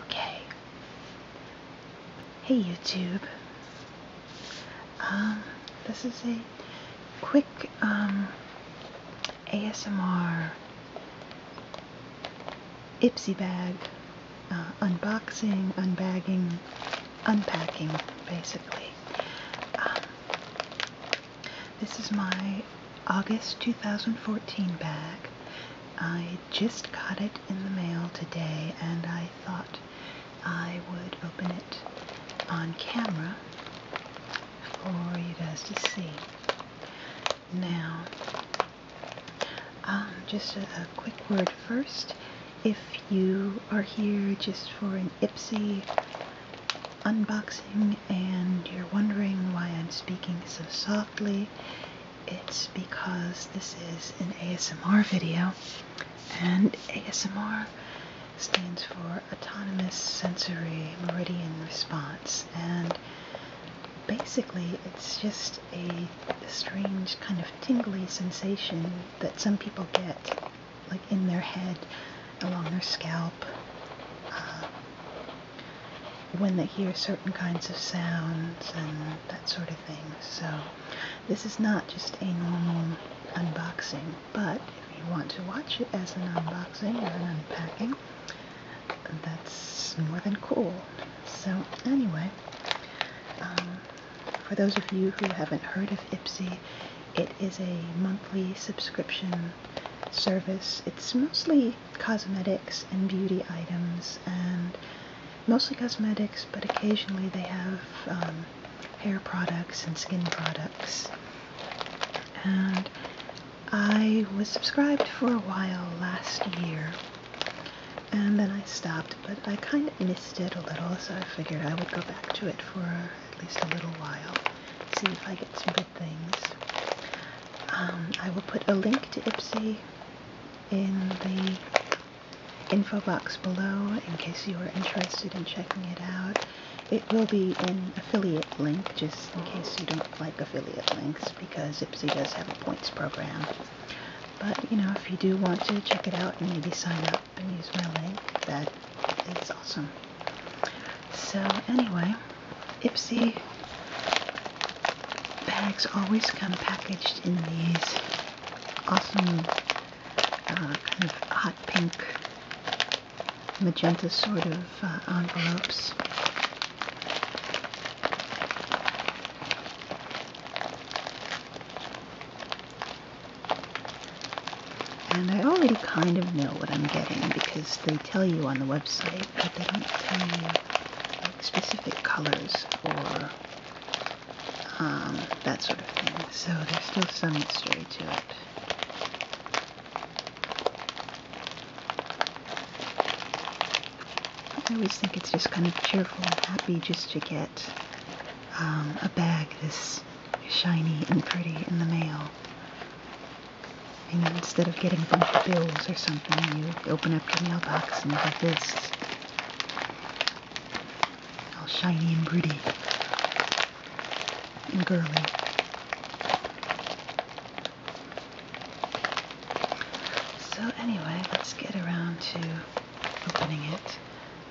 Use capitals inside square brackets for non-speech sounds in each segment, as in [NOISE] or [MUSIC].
Okay. Hey YouTube. Um, this is a quick um, ASMR Ipsy bag uh, unboxing, unbagging, unpacking, basically. Um, this is my August 2014 bag. I just got it in the mail today and I thought I would open it on camera for you guys to see. Now, um, just a quick word first. If you are here just for an Ipsy unboxing and you're wondering why I'm speaking so softly, it's because this is an ASMR video, and ASMR stands for Autonomous Sensory Meridian Response, and basically it's just a strange kind of tingly sensation that some people get, like in their head, along their scalp. Uh, when they hear certain kinds of sounds and that sort of thing. So this is not just a normal unboxing, but if you want to watch it as an unboxing or an unpacking, that's more than cool. So anyway, um, for those of you who haven't heard of Ipsy, it is a monthly subscription um, service. It's mostly cosmetics and beauty items, and mostly cosmetics, but occasionally they have um, hair products and skin products. And I was subscribed for a while last year, and then I stopped, but I kind of missed it a little, so I figured I would go back to it for at least a little while, see if I get some things. Um, I will put a link to Ipsy in the info box below in case you are interested in checking it out. It will be an affiliate link just in case you don't like affiliate links because Ipsy does have a points program. But you know, if you do want to check it out and maybe sign up and use my link, that is awesome. So anyway, Ipsy bags always come packaged in these awesome uh, kind of hot pink magenta sort of uh, envelopes. And I already kind of know what I'm getting because they tell you on the website, but they don't tell you specific colors or um, that sort of thing. So there's still some mystery to it. I always think it's just kind of cheerful and happy just to get um, a bag this shiny and pretty in the mail. And instead of getting a bunch of bills or something, you open up your mailbox and you get this. All shiny and pretty. And girly. So anyway, let's get around to opening it.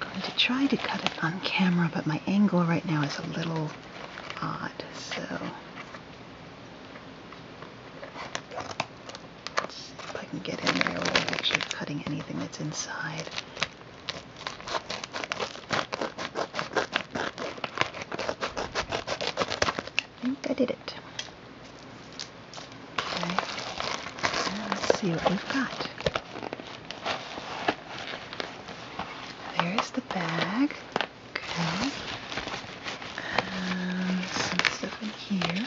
I'm going to try to cut it on camera, but my angle right now is a little odd. So see if I can get in there without actually cutting anything that's inside. I think I did it. Okay. let's see what we've got. There's the bag. Okay. And some stuff in here.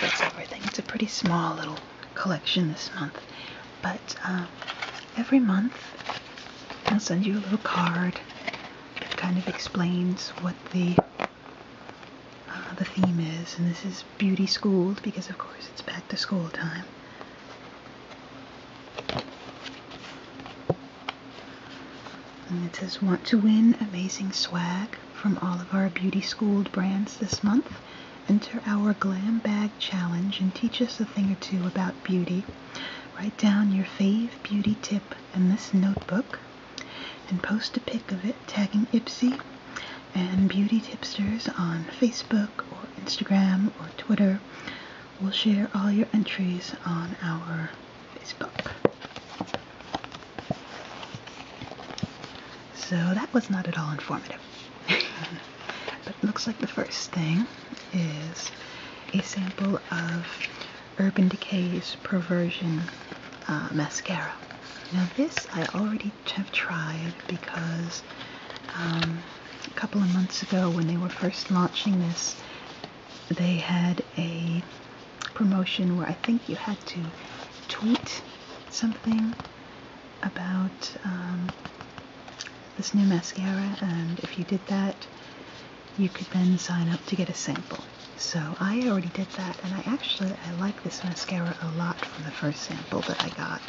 That's everything. It's a pretty small little collection this month. But um, every month I'll send you a little card that kind of explains what the uh, the theme is. And this is beauty schooled because of course it's back to school time it says, want to win amazing swag from all of our beauty schooled brands this month? Enter our glam bag challenge and teach us a thing or two about beauty. Write down your fave beauty tip in this notebook and post a pic of it tagging Ipsy and beauty tipsters on Facebook or Instagram or Twitter We'll share all your entries on our Facebook. So that was not at all informative. [LAUGHS] but it looks like the first thing is a sample of Urban Decay's Perversion uh, Mascara. Now this I already have tried because um, a couple of months ago when they were first launching this, they had a promotion where I think you had to tweet something about um, this new mascara, and if you did that, you could then sign up to get a sample. So I already did that, and I actually I like this mascara a lot from the first sample that I got.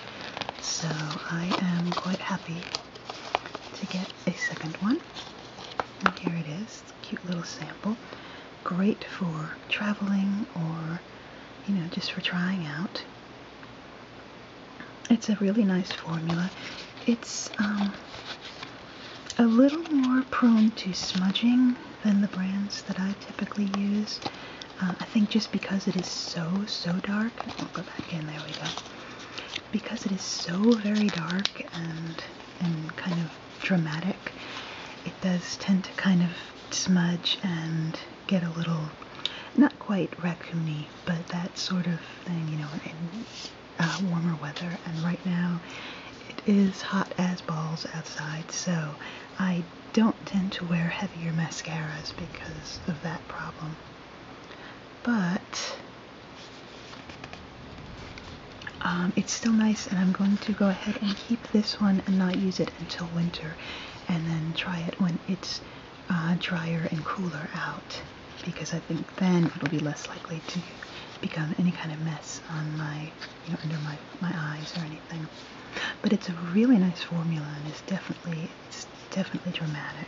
So I am quite happy to get a second one. And here it is, cute little sample. Great for traveling or, you know, just for trying out. It's a really nice formula. It's um, a little more prone to smudging than the brands that I typically use. Uh, I think just because it is so, so dark. I'll go back in. There we go because it is so very dark and and kind of dramatic it does tend to kind of smudge and get a little not quite raccoony but that sort of thing you know in uh, warmer weather and right now it is hot as balls outside so i don't tend to wear heavier mascaras because of that problem but um, it's still nice and I'm going to go ahead and keep this one and not use it until winter and then try it when it's uh, drier and cooler out because I think then it'll be less likely to become any kind of mess on my, you know, under my, my eyes or anything. But it's a really nice formula and it's definitely it's definitely dramatic.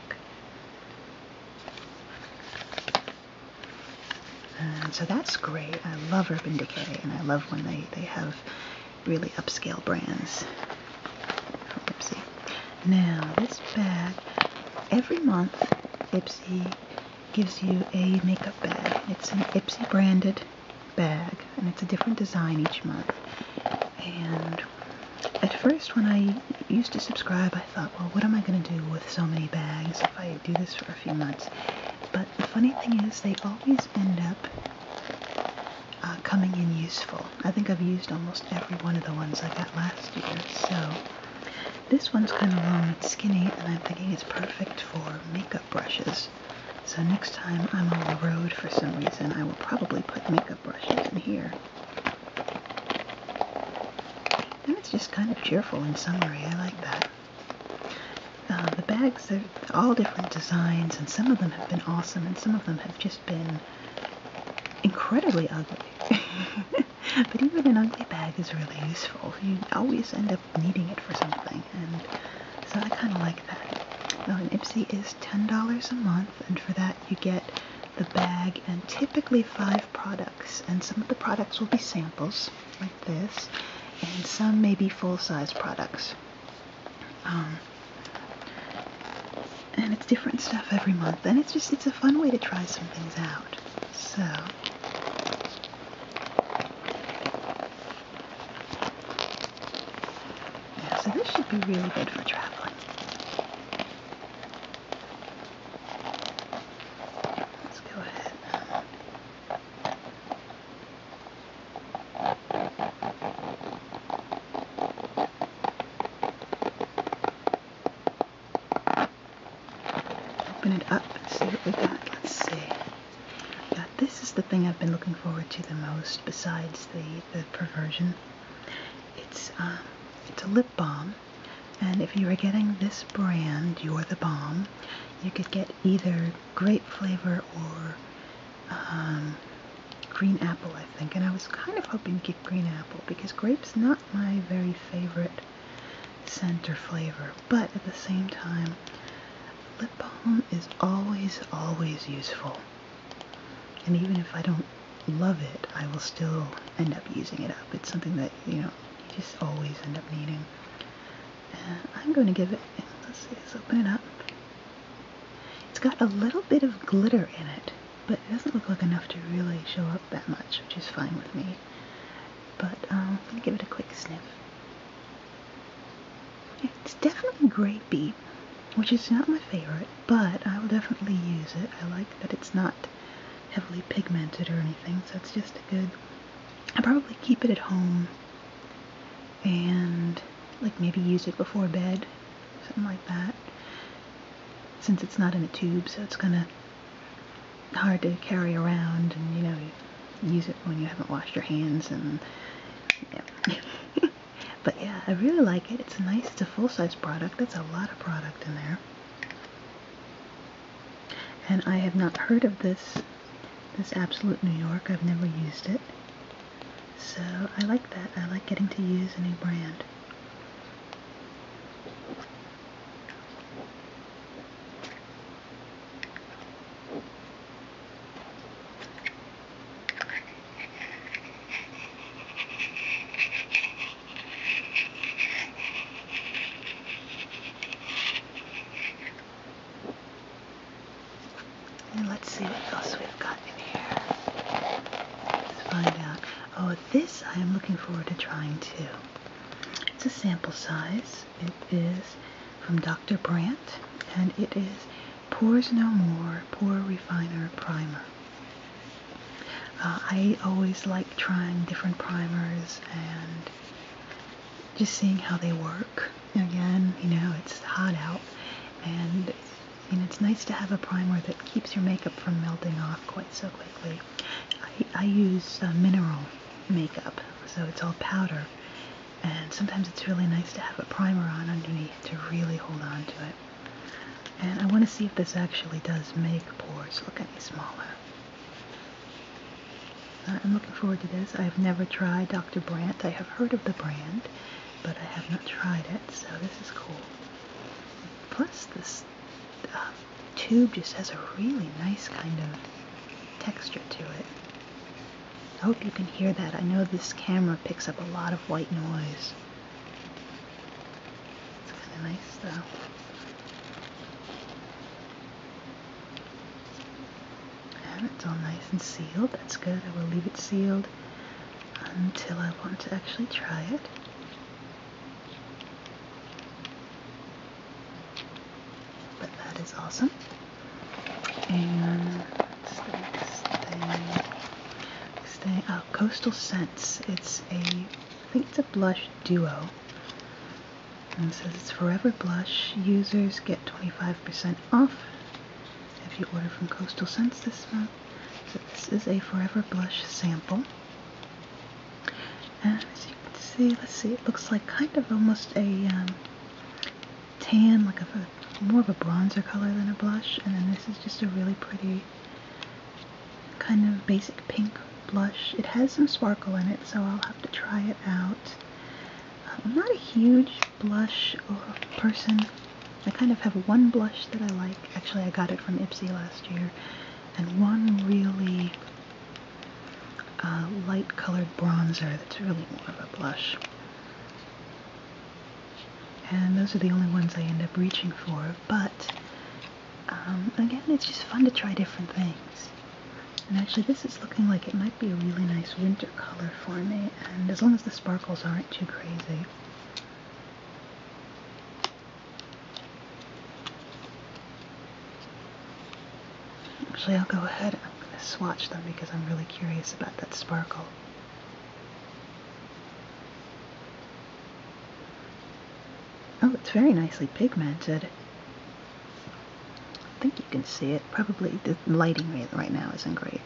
Um, so that's great. I love Urban Decay, and I love when they, they have really upscale brands. Ipsy. Now, this bag, every month, Ipsy gives you a makeup bag. It's an Ipsy branded bag, and it's a different design each month. And at first, when I used to subscribe, I thought, well, what am I going to do with so many bags if I do this for a few months? But the funny thing is, they always end up uh, coming in useful. I think I've used almost every one of the ones I got last year, so this one's kind of long and skinny, and I'm thinking it's perfect for makeup brushes. So next time I'm on the road for some reason, I will probably put makeup brushes in here. And it's just kind of cheerful in summary. I like that. Uh, the bags are all different designs, and some of them have been awesome, and some of them have just been incredibly ugly. [LAUGHS] but even an ugly bag is really useful. You always end up needing it for something, and so I kind of like that. Well, and Ipsy is $10 a month, and for that you get the bag and typically five products and some of the products will be samples like this and some may be full-size products um, and it's different stuff every month and it's just it's a fun way to try some things out so so this should be really good for traveling. Let's go ahead. Open it up and see what we got. Let's see. this is the thing I've been looking forward to the most besides the, the perversion it's um, it's a lip balm, and if you were getting this brand, You're the bomb. you could get either grape flavor or um, green apple, I think. And I was kind of hoping to get green apple because grape's not my very favorite scent or flavor, but at the same time, lip balm is always, always useful. And even if I don't love it, I will still end up using it up. It's something that, you know, you just always end up needing. And I'm going to give it, let's see, let's open it up. It's got a little bit of glitter in it, but it doesn't look like enough to really show up that much, which is fine with me. But um, I'm going to give it a quick sniff. it's definitely grapey which is not my favorite, but I will definitely use it. I like that it's not heavily pigmented or anything, so it's just a good. I probably keep it at home and like maybe use it before bed, something like that. Since it's not in a tube, so it's kind of hard to carry around and you know, use it when you haven't washed your hands and yeah. [LAUGHS] But yeah, I really like it. It's nice. It's a full-size product. That's a lot of product in there. And I have not heard of this this Absolute New York. I've never used it. So I like that. I like getting to use a new brand let's see what else we've got in here. Let's find out. Oh, this I am looking forward to trying too. It's a sample size. It is from Dr. Brandt and it is Pours No More Pore Refiner Primer. Uh, I always like trying different primers and just seeing how they work. Again, you know, it's hot out and you it's nice to have a primer that keeps your makeup from melting off quite so quickly. I, use uh, mineral makeup, so it's all powder. And sometimes it's really nice to have a primer on underneath to really hold on to it. And I want to see if this actually does make pores look any smaller. Uh, I'm looking forward to this. I've never tried Dr. Brandt. I have heard of the brand, but I have not tried it, so this is cool. Plus, this uh, tube just has a really nice kind of texture to it. I hope you can hear that. I know this camera picks up a lot of white noise. It's kind of nice though. And it's all nice and sealed. That's good. I will leave it sealed until I want to actually try it. But that is awesome. And uh, Coastal Scents. It's a, I think it's a blush duo. And says it's Forever Blush. Users get 25% off if you order from Coastal Scents this month. So this is a Forever Blush sample. And as you can see, let's see, it looks like kind of almost a um, tan, like a more of a bronzer color than a blush. And then this is just a really pretty kind of basic pink blush. It has some sparkle in it, so I'll have to try it out. Uh, I'm not a huge blush person. I kind of have one blush that I like. Actually, I got it from Ipsy last year. And one really uh, light colored bronzer that's really more of a blush and those are the only ones I end up reaching for. But um, again, it's just fun to try different things. And actually, this is looking like it might be a really nice winter color for me, and as long as the sparkles aren't too crazy. Actually, I'll go ahead. I'm going to swatch them because I'm really curious about that sparkle. Oh, it's very nicely pigmented. I think you can see it. Probably the lighting right now isn't great.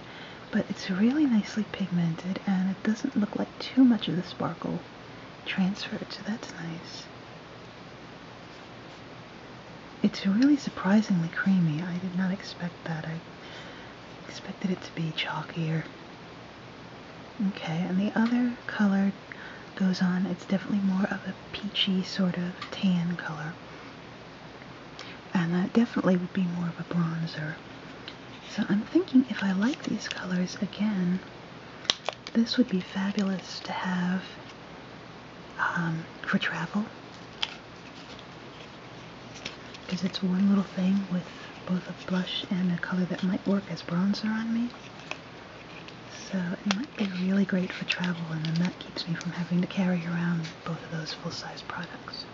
But it's really nicely pigmented and it doesn't look like too much of the sparkle transferred, so that's nice. It's really surprisingly creamy. I did not expect that. Expected it to be chalkier. Okay, and the other color goes on. It's definitely more of a peachy sort of tan color. And that definitely would be more of a bronzer. So I'm thinking if I like these colors again, this would be fabulous to have um, for travel because it's one little thing with both a blush and a color that might work as bronzer on me. So it might be really great for travel and then that keeps me from having to carry around both of those full-size products.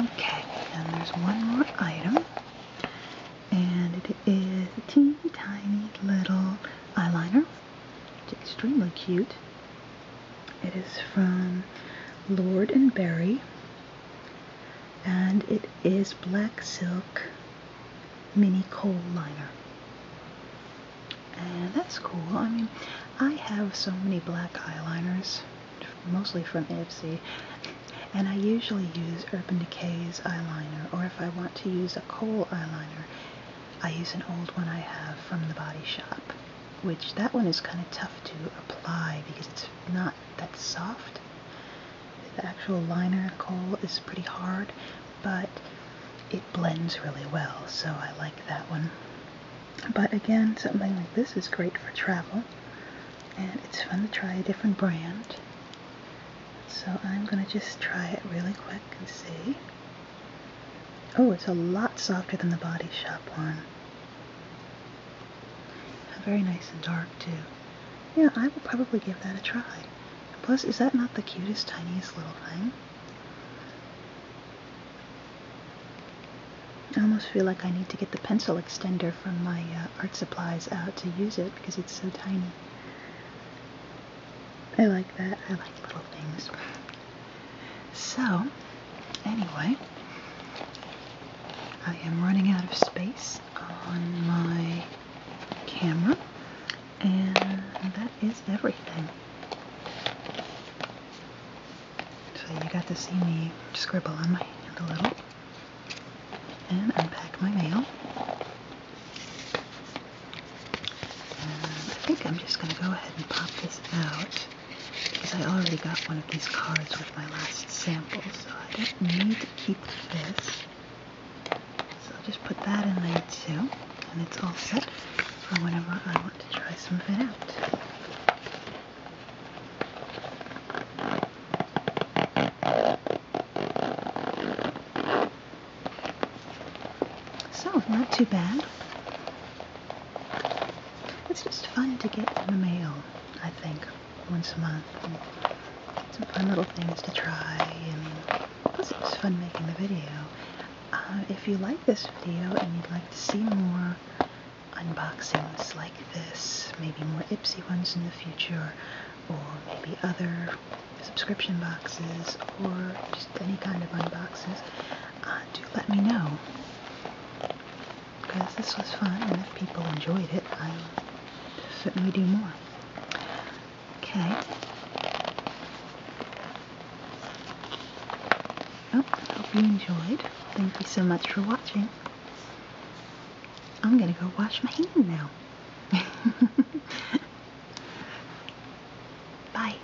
Okay, and there's one more item. And it is a teeny tiny little eyeliner. It's extremely cute. It is from Lord and Berry and it is black silk mini coal liner. And that's cool. I mean, I have so many black eyeliners, mostly from Ipsy, and I usually use Urban Decay's eyeliner, or if I want to use a coal eyeliner, I use an old one I have from the body shop which that one is kind of tough to apply because it's not that soft. The actual liner coal is pretty hard, but it blends really well, so I like that one. But again, something like this is great for travel, and it's fun to try a different brand. So I'm going to just try it really quick and see. Oh, it's a lot softer than the Body Shop one. Very nice and dark, too. Yeah, I will probably give that a try. Plus, is that not the cutest, tiniest little thing? I almost feel like I need to get the pencil extender from my uh, art supplies out to use it because it's so tiny. I like that. I like little things. So, anyway, I am running out of space on my camera, and that is everything. So, you got to see me scribble on my hand a little and unpack my mail. I think I'm just going to go ahead and pop this out because I already got one of these cards with my last sample, so I don't need to keep this. So I'll just put that in there too, and it's all set for whenever I want to try some of it out. So, not too bad. It's just fun to get in the mail, I think, once a month. And some fun little things to try, and it was fun making the video. Uh, if you like this video and you'd like to see more unboxings like this, maybe more Ipsy ones in the future, or maybe other subscription boxes, or just any kind of unboxes, uh, do let me know because this was fun and if people enjoyed it I will certainly do more. Okay. Oh, hope you enjoyed. Thank you so much for watching. I'm gonna go wash my hand now. [LAUGHS] Bye.